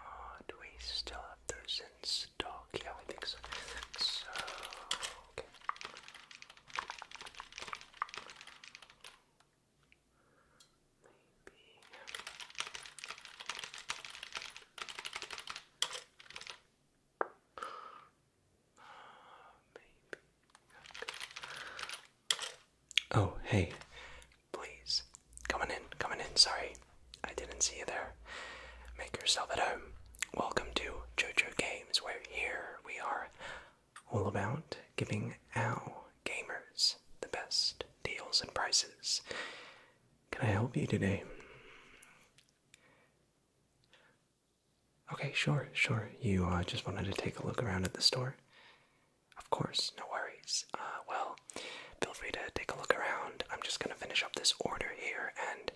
Uh, do we still have those in stock? Yeah, I think so. Maybe. Uh, maybe. Oh, hey, please. Coming in, coming in. Sorry, I didn't see you there. Make yourself at home. Welcome to JoJo Games, where here we are all about giving our gamers the best deals and prices. Can I help you today? Okay, sure, sure. You uh, just wanted to take a look around at the store? Of course, no worries. Uh, well, feel free to take a look around. I'm just gonna finish up this order here, and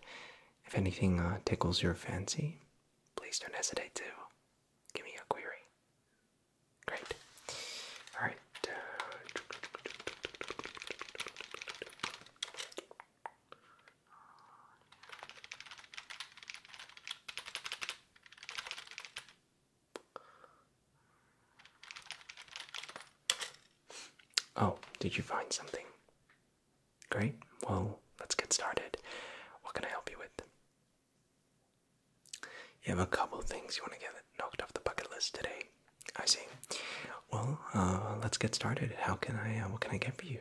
if anything uh, tickles your fancy, please don't hesitate to give me a query. Great. All right. Uh, Oh, did you find something? Great. Well, let's get started. What can I help you with? You have a couple things you want to get knocked off the bucket list today. I see. Well, uh, let's get started. How can I? Uh, what can I get for you?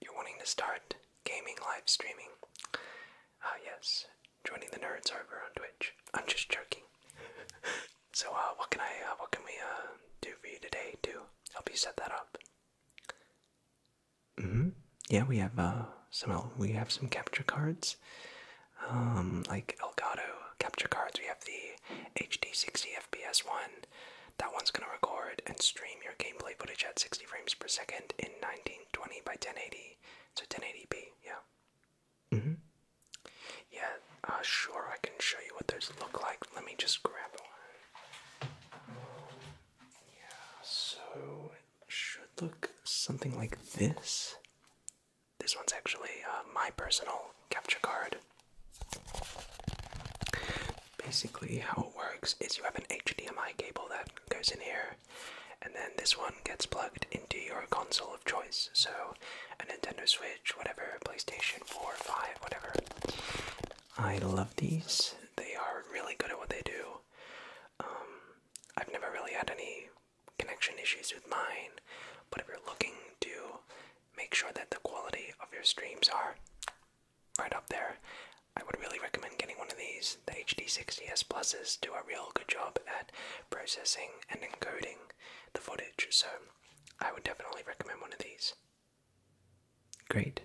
you're wanting to start gaming live streaming. Ah, yes, joining the nerds over on Twitch. I'm just joking. so, uh, what can I, uh, what can we, uh, do for you today to help you set that up? Mm hmm. Yeah, we have, uh, some, we have some capture cards. Um, like Elgato capture cards. We have the HD 60 FPS one. That one's gonna record and stream your gameplay footage at 60 frames per second in 90 1920 by 1080, so 1080p, yeah. hmm Yeah, uh, sure, I can show you what those look like. Let me just grab one. Yeah, so it should look something like this. This one's actually uh, my personal capture card. Basically, how it works is you have an HDMI cable that goes in here, and then this one gets plugged into your console of choice. So, a Nintendo Switch, whatever, PlayStation 4, 5, whatever. I love these. They are really good at what they do. Um, I've never really had any connection issues with mine, but if you're looking to make sure that the quality of your streams are right up there, I would really recommend getting one of these. The HD60S Pluses do a real good job at processing and encoding the footage, so I would definitely recommend one of these. Great.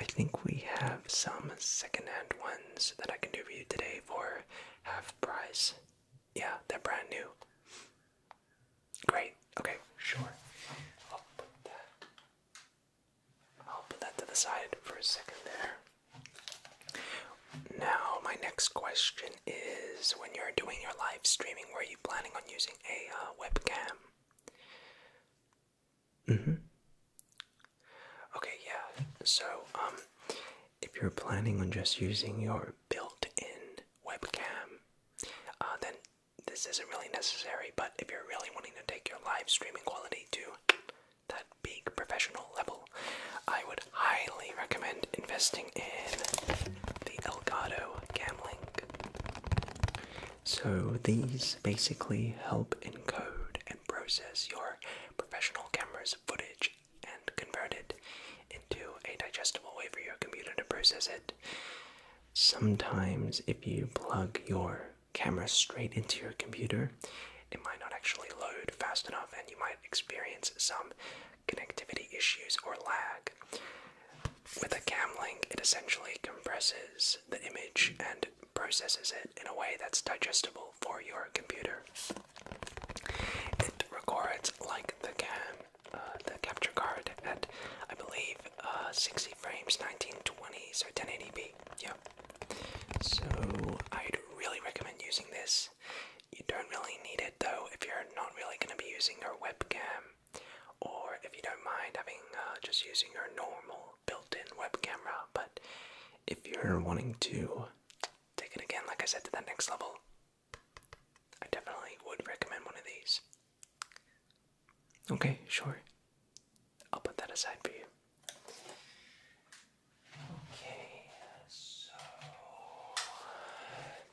I think we have some secondhand ones that I can do for you today for half price. Yeah, they're brand new. Great. Okay, sure. I'll put that I'll put that to the side for a second there. Now, my next question is when you're doing your live streaming, were you planning on using a uh, webcam? Mm hmm. Okay, yeah. So, um, if you're planning on just using your built in webcam, uh, then this isn't really necessary. But if you're really wanting to take your live streaming quality to that big professional level, I would highly recommend investing in the Elgato Camlink. So these basically help encode and process your professional camera's footage and convert it into a digestible way for your computer to process it. Sometimes, if you plug your camera straight into your computer, it might not actually load fast enough and you might experience some connectivity issues or lag. With a cam link, it essentially compresses the image and processes it in a way that's digestible for your computer. It records like the cam, uh, the capture card at, I believe, uh, 60 frames, 1920, so 1080p. Yep. So I'd really recommend using this. You don't really need it though if you're not really going to be using your webcam, or if you don't mind having uh, just using your normal built-in webcam. But if you're wanting to take it again, like I said, to that next level, I definitely would recommend one of these. Okay, sure. I'll put that aside for you. Okay, so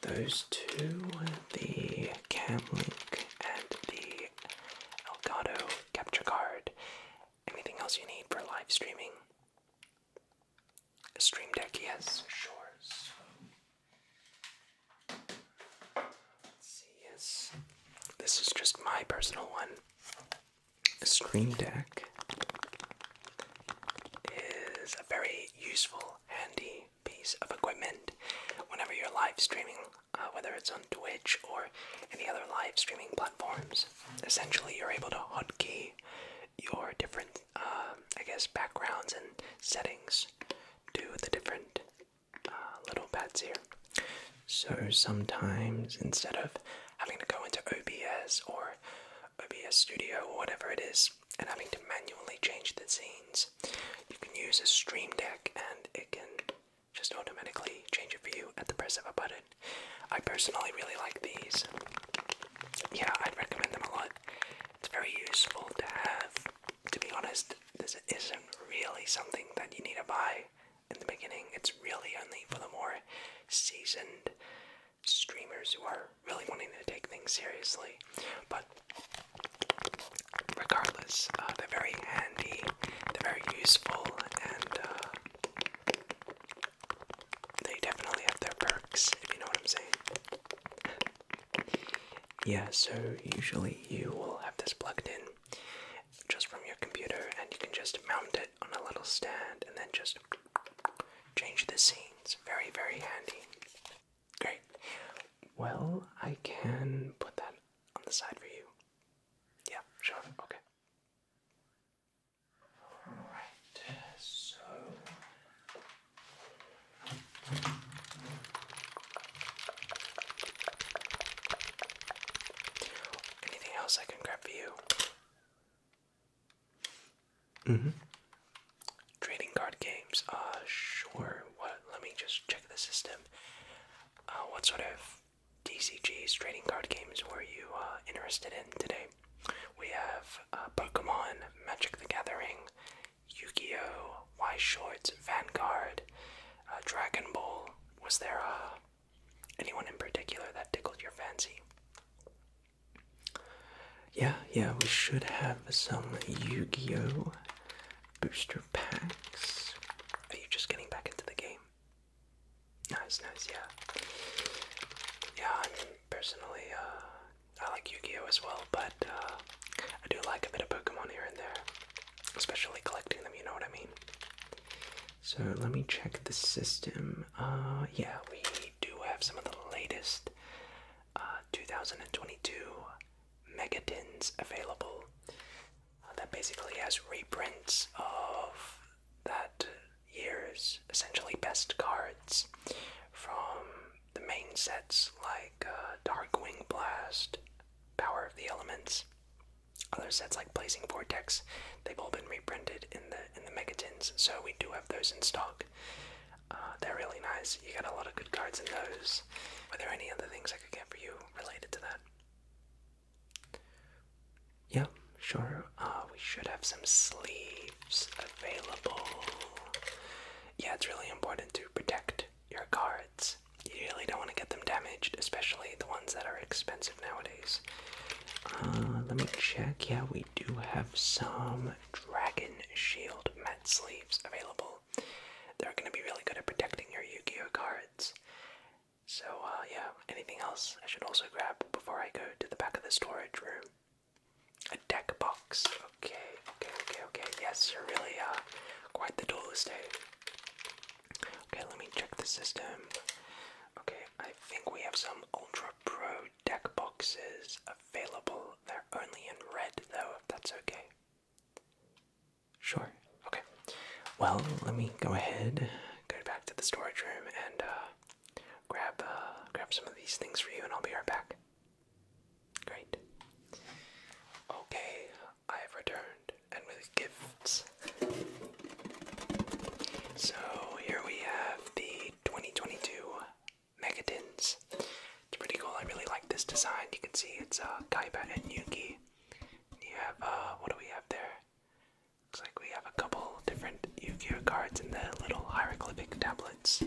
those two, the Cam Link and the Elgato capture card. Anything else you need for live streaming? stream deck, yes, sure. yes. This is just my personal one. Stream Deck is a very useful, handy piece of equipment whenever you're live streaming, uh, whether it's on Twitch or any other live streaming platforms. Essentially, you're able to hotkey your different, um, I guess, backgrounds and settings to the different uh, little pads here. So sometimes instead of having to go into OBS or OBS Studio or whatever it is and having to manually change the scenes, you can use a Stream Deck and it can just automatically change it for you at the press of a button. I personally really like these. Yeah, I'd recommend them a lot. It's very useful to have. To be honest, this isn't really something that you need to buy in the beginning. It's really only for the more seasoned streamers who are really wanting to take things seriously. But regardless, uh, they're very handy, they're very useful, and uh, they definitely have their perks, if you know what I'm saying. yeah, so usually you will have this plugged in just from your computer, and you can just mount it on a little stand and then just change the scenes. Very, very handy. Great. Well, I can put that on the side for you. Yeah, sure. Okay. Alright, so. Anything else I can grab for you? Mm-hmm. Trading card games. Uh, sure. What? Let me just check the system. Uh, what sort of DCGs trading card games were you uh, interested in today? We have uh, Pokemon, Magic the Gathering, Yu-Gi-Oh, Y Shorts, Vanguard, uh, Dragon Ball. Was there a Anyone in particular that tickled your fancy? Yeah, yeah, we should have some Yu Gi Oh! booster packs. Are you just getting back into the game? Nice, nice, yeah. Yeah, I'm personally, uh, I like Yu Gi Oh! as well, but uh, I do like a bit of Pokemon here and there. Especially collecting them, you know what I mean? So let me check the system. Uh, yeah, we do have some of the latest uh, 2022 MegaDins available. Uh, that basically has reprints of that year's essentially best cards from the main sets like uh, Darkwing Blast, Power of the Elements, other sets like Blazing Vortex, They've all been reprinted in the in the megatins, so we do have those in stock. Uh, they're really nice. You got a lot of good cards in those. Were there any other things I could get for you related to that? Yeah, sure. Uh, we should have some sleeves available. Yeah, it's really important to protect your cards. You really don't want to get them damaged, especially the ones that are expensive nowadays. Uh, let me check. Yeah, we do have some Dragon Shield Met sleeves available. They're going to be really good at protecting your Yu Gi Oh cards. So, uh, yeah, anything else I should also grab before I go to the back of the storage room? A deck box. Okay, okay, okay, okay. Yes, you're really uh, quite the duelist, eh? Okay, let me check the system. Okay, I think we have some Ultra Pro deck boxes available. They're only in red though, if that's okay. Sure, okay. Well, let me go ahead, go back to the storage room and uh, grab, uh, grab some of these things for you and I'll be right back. Great. Okay, I have returned, and with gifts so here we have the 2022 Megatins. It's pretty cool. I really like this design. You can see it's uh, Kaiba and Yuki. You have, uh, what do we have there? Looks like we have a couple different Yu Gi Oh cards in the little hieroglyphic tablets.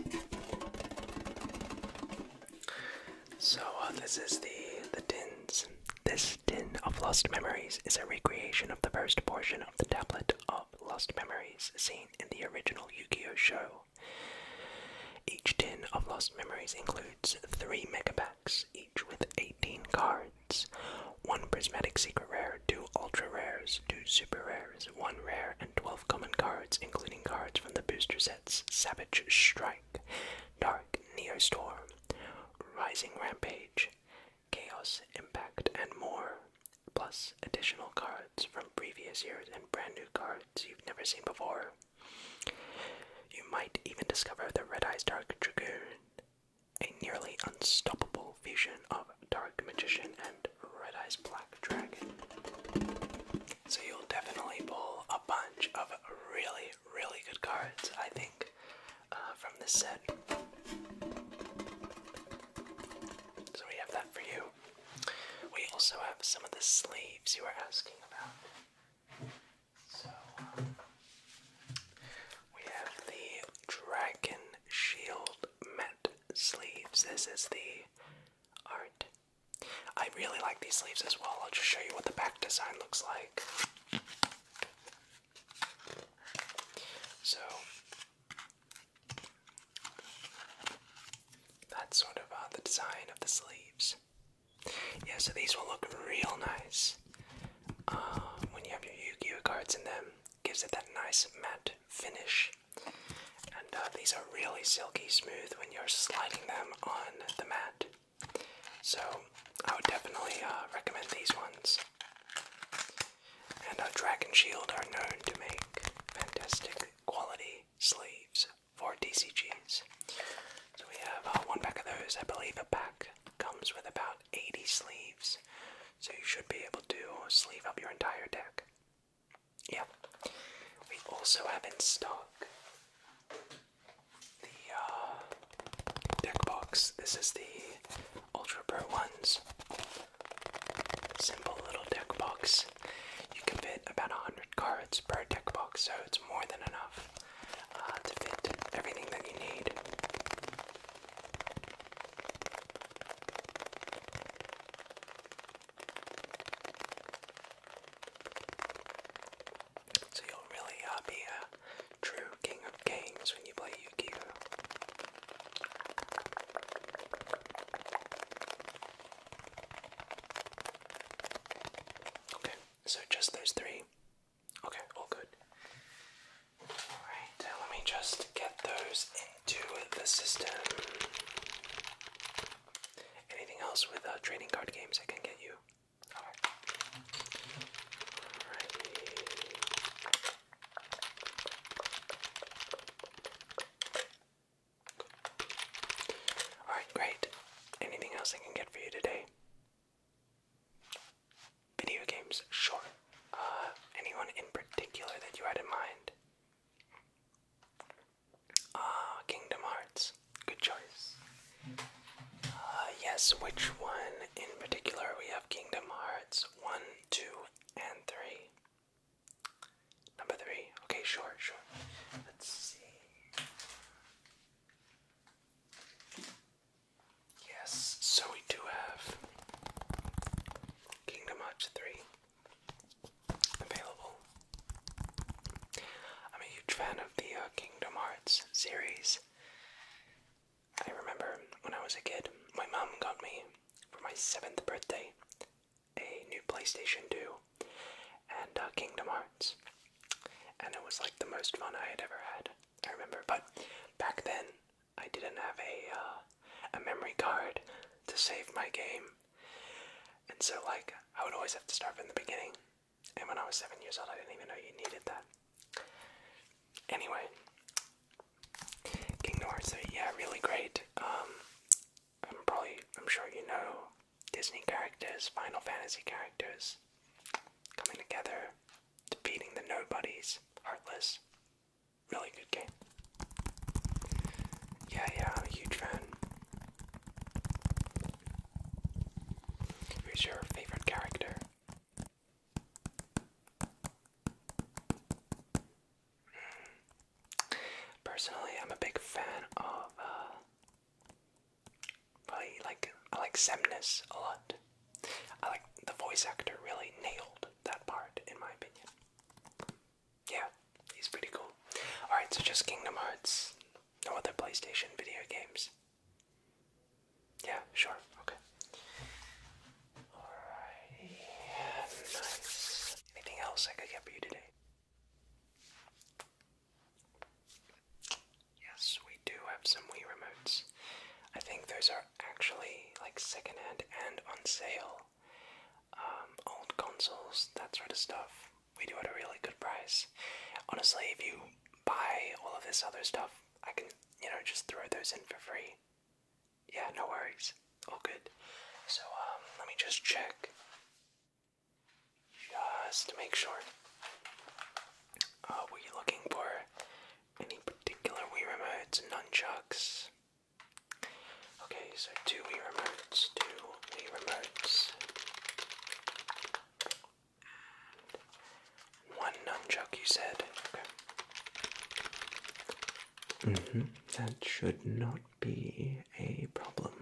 So uh, this is the the tins. This tin of lost memories is a recreation of the first portion of the tablet of lost memories seen in the original Yu Gi Oh! show. Each tin of lost memories includes three mega packs, each with 18 cards one prismatic secret rare, two ultra rares, two super rares, one rare, and 12 common cards, including cards from the booster sets Savage Strike, Dark Neostorm, Rising Rampage, chaos, impact, and more, plus additional cards from previous years and brand new cards you've never seen before. You might even discover the Red Eyes Dark Dragoon, a nearly unstoppable fusion of Dark Magician and Red Eyes Black Dragon. So you'll definitely pull a bunch of really, really good cards, I think. Uh, from this set. So we have that for you. We also have some of the sleeves you were asking about. So um, we have the Dragon Shield Met sleeves. This is the art. I really like these sleeves as well. I'll just show you what the back design looks like. So that's sort of uh, the design of the sleeves. Yeah, so these will look real nice uh, when you have your Yu-Gi-Oh cards in them. Gives it that nice matte finish, and uh, these are really silky smooth when you're sliding them on the mat. So I would definitely recommend these ones and our Dragon Shield are known to make fantastic quality sleeves for DCGs. So we have uh, one pack of those. I believe a pack comes with about 80 sleeves, so you should be able to sleeve up your entire deck. Yeah. We also have in stock the uh, deck box. This is the Ultra Pro ones. Simple little deck box. You can fit about 100 cards per deck box, so it's more than enough uh, to fit everything that you need. So you'll really uh, be a true king games when you play Yu-Gi-Oh. Okay, so just those three. Okay, all good. Alright, uh, let me just get those into the system. Anything else with uh, trading card games I can get you? Alright. Alright. Alright, great. Anything else I can get for you today? Video games, sure. Uh, anyone in particular that you had in mind? Ah, Kingdom Hearts. Good choice. Uh, yes, which one in particular? We have Kingdom Hearts 1, 2, and 3. Number three. Okay, sure, sure. Let's see. Yes, so we do have Kingdom Hearts 3 available. I'm a huge fan of the uh, Kingdom Hearts series. I remember when I was a kid, my mom got me for my seventh birthday a new PlayStation 2 and uh, Kingdom Hearts, and it was like the most fun I had ever had. I remember, but back then I didn't have a uh, a memory card to save my game, and so like I would always have to start from the beginning. And when I was seven years old, I didn't even know you needed that. Anyway, Kingdom Hearts yeah, really great. Um, I'm probably, I'm sure you know Disney characters, Final Fantasy characters coming together, defeating the nobodies, Heartless. Really good game. Yeah, yeah, huge fan. Who's your favorite character? Personally, I'm a big fan of uh, probably like like Semnes a lot. I like the voice actor really nailed that part in my opinion. Yeah, he's pretty cool. All right, so just Kingdom Hearts. No other PlayStation video games. Yeah, sure. Okay. Alrighty, nice. Anything else I could get for you today? Yes, we do have some Wii remotes. I think those are actually like secondhand and on sale. Um, old consoles, that sort of stuff. We do at a really good price. Honestly, if you buy all of this other stuff, I can, you know, just throw those in for free. Yeah, no worries. Oh, good. So, um, let me just check. Just to make sure. Uh, were you looking for any particular Wii remotes, nunchucks? Okay, so two Wii remotes, two Wii remotes. And one nunchuck, you said. Mm-hmm. That should not be a problem.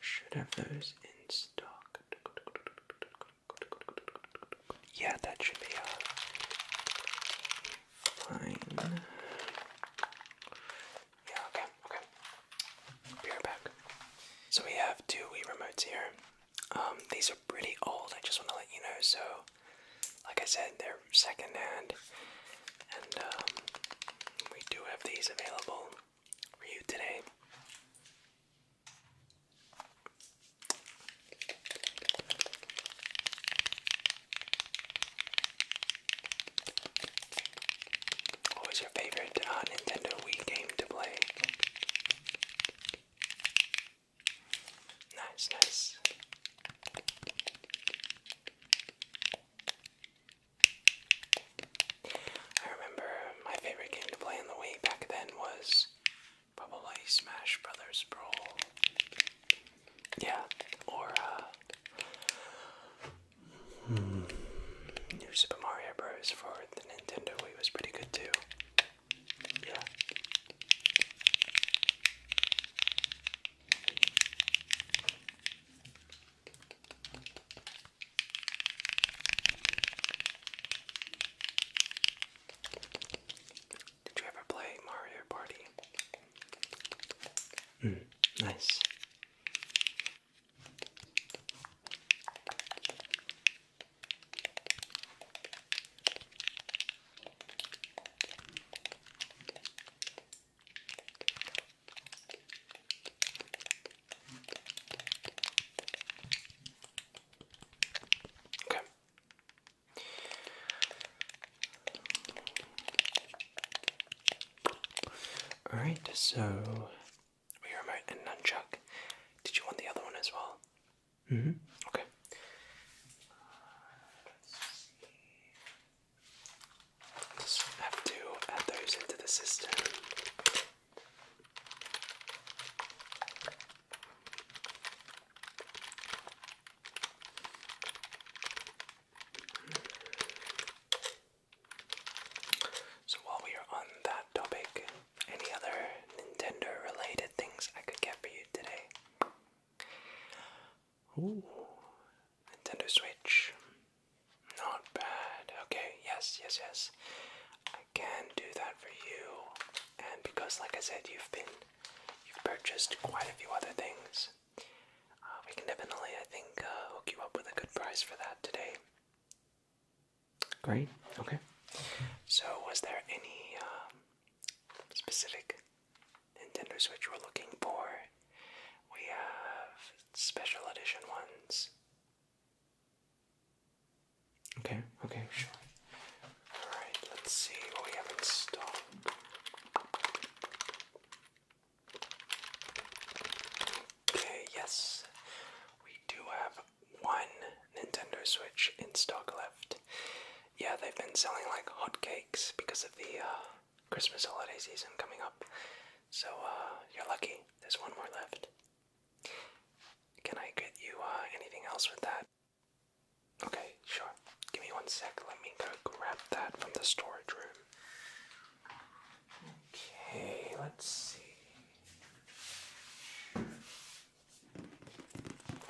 Should have those in stock. Yeah, that should be uh, fine. Yeah, okay, okay. Be right back. So we have two Wii remotes here. Um, these are pretty old, I just want to let you know, so like I said, they're secondhand, and um, we do have these available for you today. What was your favorite uh, Nintendo Wii game to play? Nice, nice. I remember my favorite game to play on the Wii back then was probably Smash Brothers Brawl. Yeah, or uh, hmm, New Super Mario Bros. for the Nintendo Wii was pretty good too. Yeah. Did you ever play Mario Party? Mm, nice. Okay. All right. So, remote and nunchuck. Did you want the other one as well? Mm hmm. Okay. Uh, just have to add those into the system. So while we are on that topic, any other Nintendo related things I could get for you today? Ooh, Nintendo Switch. Not bad. Okay, yes, yes, yes. I can do that for you. And because, like I said, you've been, you've purchased quite a few other things. Uh, we can definitely, I think, uh, hook you up with a good price for that today. Great. Okay. So, was there any um, specific Nintendo Switch we're looking for. We have special edition ones. Okay, okay, sure. Alright, let's see what we have in stock. Okay, yes, we do have one Nintendo Switch in stock left. Yeah, they've been selling like hotcakes because of the uh, Christmas holiday season coming up. So uh, you're lucky. There's one more left. Can I get you uh, anything else with that? Okay, sure. Give me one sec. Let me go grab that from the storage room. Okay, let's see.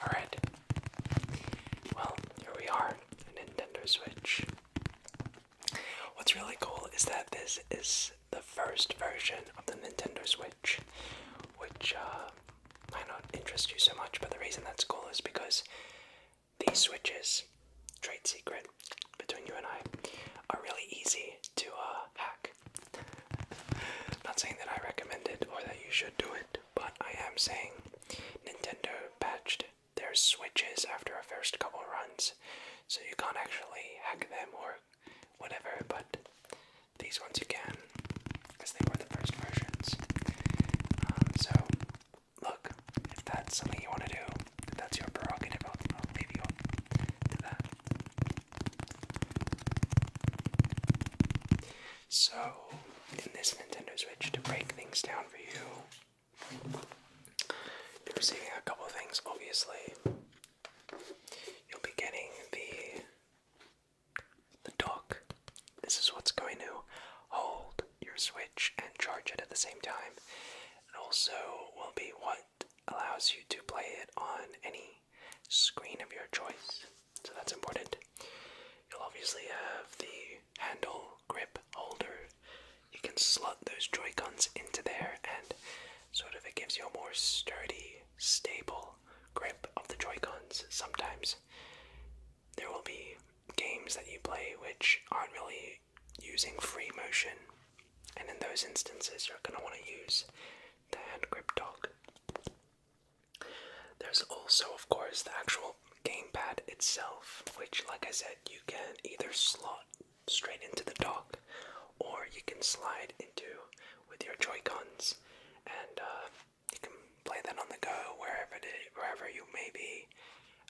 Alright. Well, here we are. Nintendo Switch. What's really cool is that this is the first version of the Nintendo Switch, which uh, might not interest you so much, but the reason that's cool is because these switches, trade secret between you and I, are really easy to uh, hack. Not saying that I recommend it or that you should do it, but I am saying Nintendo patched there's switches after a first couple runs, so you can't actually hack them or whatever, but these ones you can, because they were the first versions. Um, so, look, if that's something you want to do, if that's your prerogative, i So, in this Nintendo Switch, to break things down for you, you're receiving a couple things, obviously. You'll be getting the the dock. This is what's going to hold your Switch and charge it at the same time. It also will be what allows you to play it on any screen of your choice. So that's important. You'll obviously have the handle grip holder. You can slot those Joy-Cons into there and sort of it gives you a more sturdy, stable grip of the Joy-Cons. Sometimes there will be games that you play which aren't really using free motion, and in those instances, you're going to want to use the hand grip dog. There's also, of course, the actual gamepad itself, which, like I said, you can either slot straight into the dock or you can slide into with your Joycons, and uh, you can play that on the go wherever it is, wherever you may be.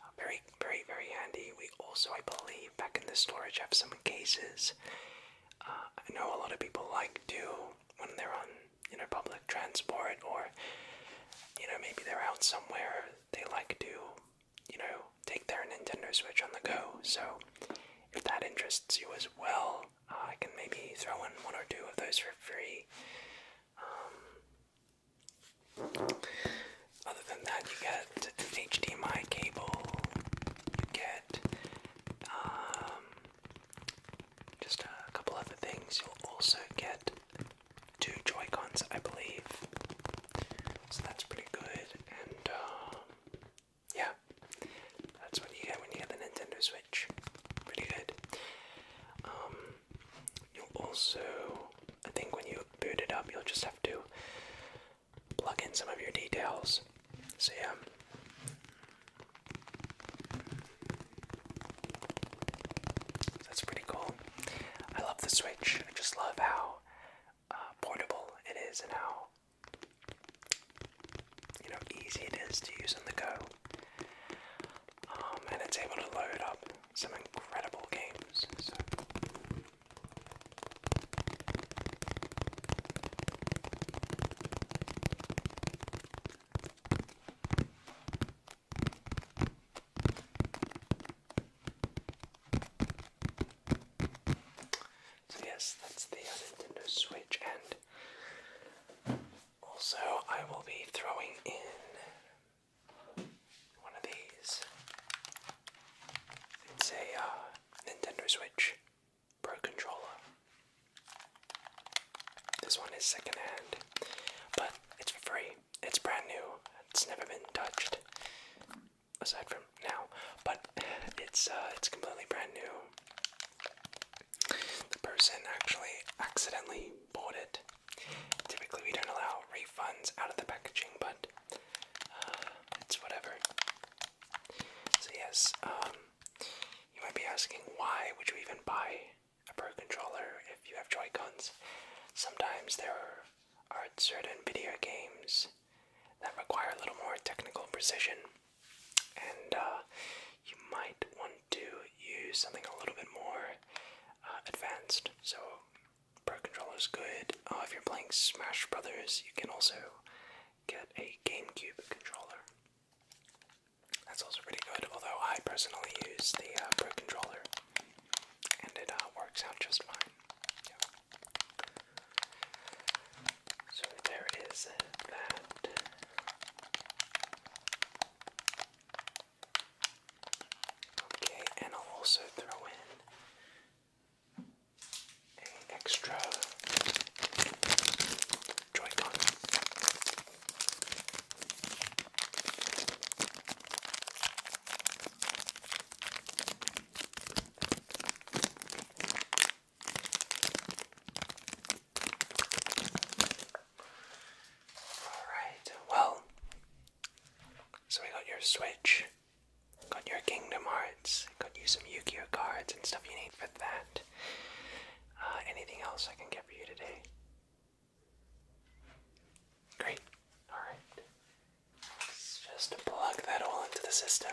Uh, very, very, very handy. We also, I believe, back in the storage have some cases. Uh, I know a lot of people like to when they're on you know public transport or you know maybe they're out somewhere they like to, you know, take their Nintendo Switch on the go. So if that interests you as well, I can maybe throw in one or two of those for free. Um, other than that, you get an HDMI cable. You get um, just a couple other things. You'll also get 2 Joycons, I believe. So that's pretty good. And um, yeah, that's when you get when you get the Nintendo Switch. Pretty good. Um, you'll also, I think, when you boot it up, you'll just have to plug in some of your details. So yeah. That's pretty cool. I love the Switch. I just love how uh, portable it is and how you know easy it is to use on the go. Um, and it's able to load up some incredible games. So, yes, that's the Nintendo Switch, and also I will be throwing in one of these. It's a uh, Nintendo Switch Pro controller. This one is secondhand, but it's for free it's brand new. It's never been touched aside from now, but it's uh, it's completely brand new. The person actually accidentally bought it. Typically, we don't allow refunds out of the packaging, but uh, it's whatever. So yes, um, you might be asking why would you even buy a Pro controller if you have Joy-Cons. Sometimes there are certain video games that require a little more technical precision, and uh, you might want to use something a little bit more uh, advanced. So, Pro controller is good. Uh, if you're playing Smash Brothers, you can also get a GameCube controller. That's also pretty good, although I personally use the Pro controller and it uh, works out just fine. So there is that. Okay, and I'll also throw in a extra joy Alright, well, so we got your Switch, got your Kingdom Hearts, got you some Yu Gi Oh cards and stuff you need for that. Uh, anything else I can get for you today? Great. Alright. Let's just plug that all into the system.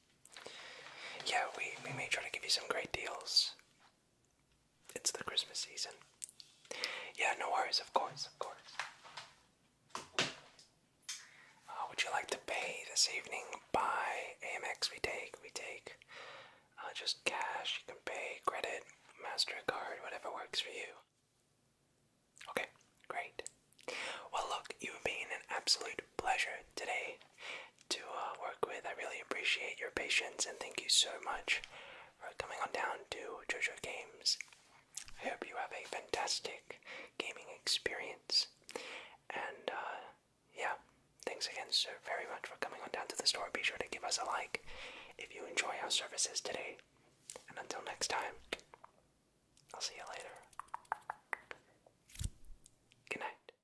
Yeah, we, we may try to give you some great deals. It's the Christmas season. Yeah, no worries, of course, of course. Uh, would you like to pay this evening by Amex? We take, we take uh, just cash. You can pay credit, MasterCard, whatever works for you. Okay, great. Well, look, you've been an absolute pleasure today to uh, work with. I really appreciate your patience and thank you so much for coming on down to JoJo Games. I hope you have a fantastic gaming experience. And uh, yeah, thanks again so very much for coming on down to the store. Be sure to give us a like if you enjoy our services today. And until next time, I'll see you later. Good night.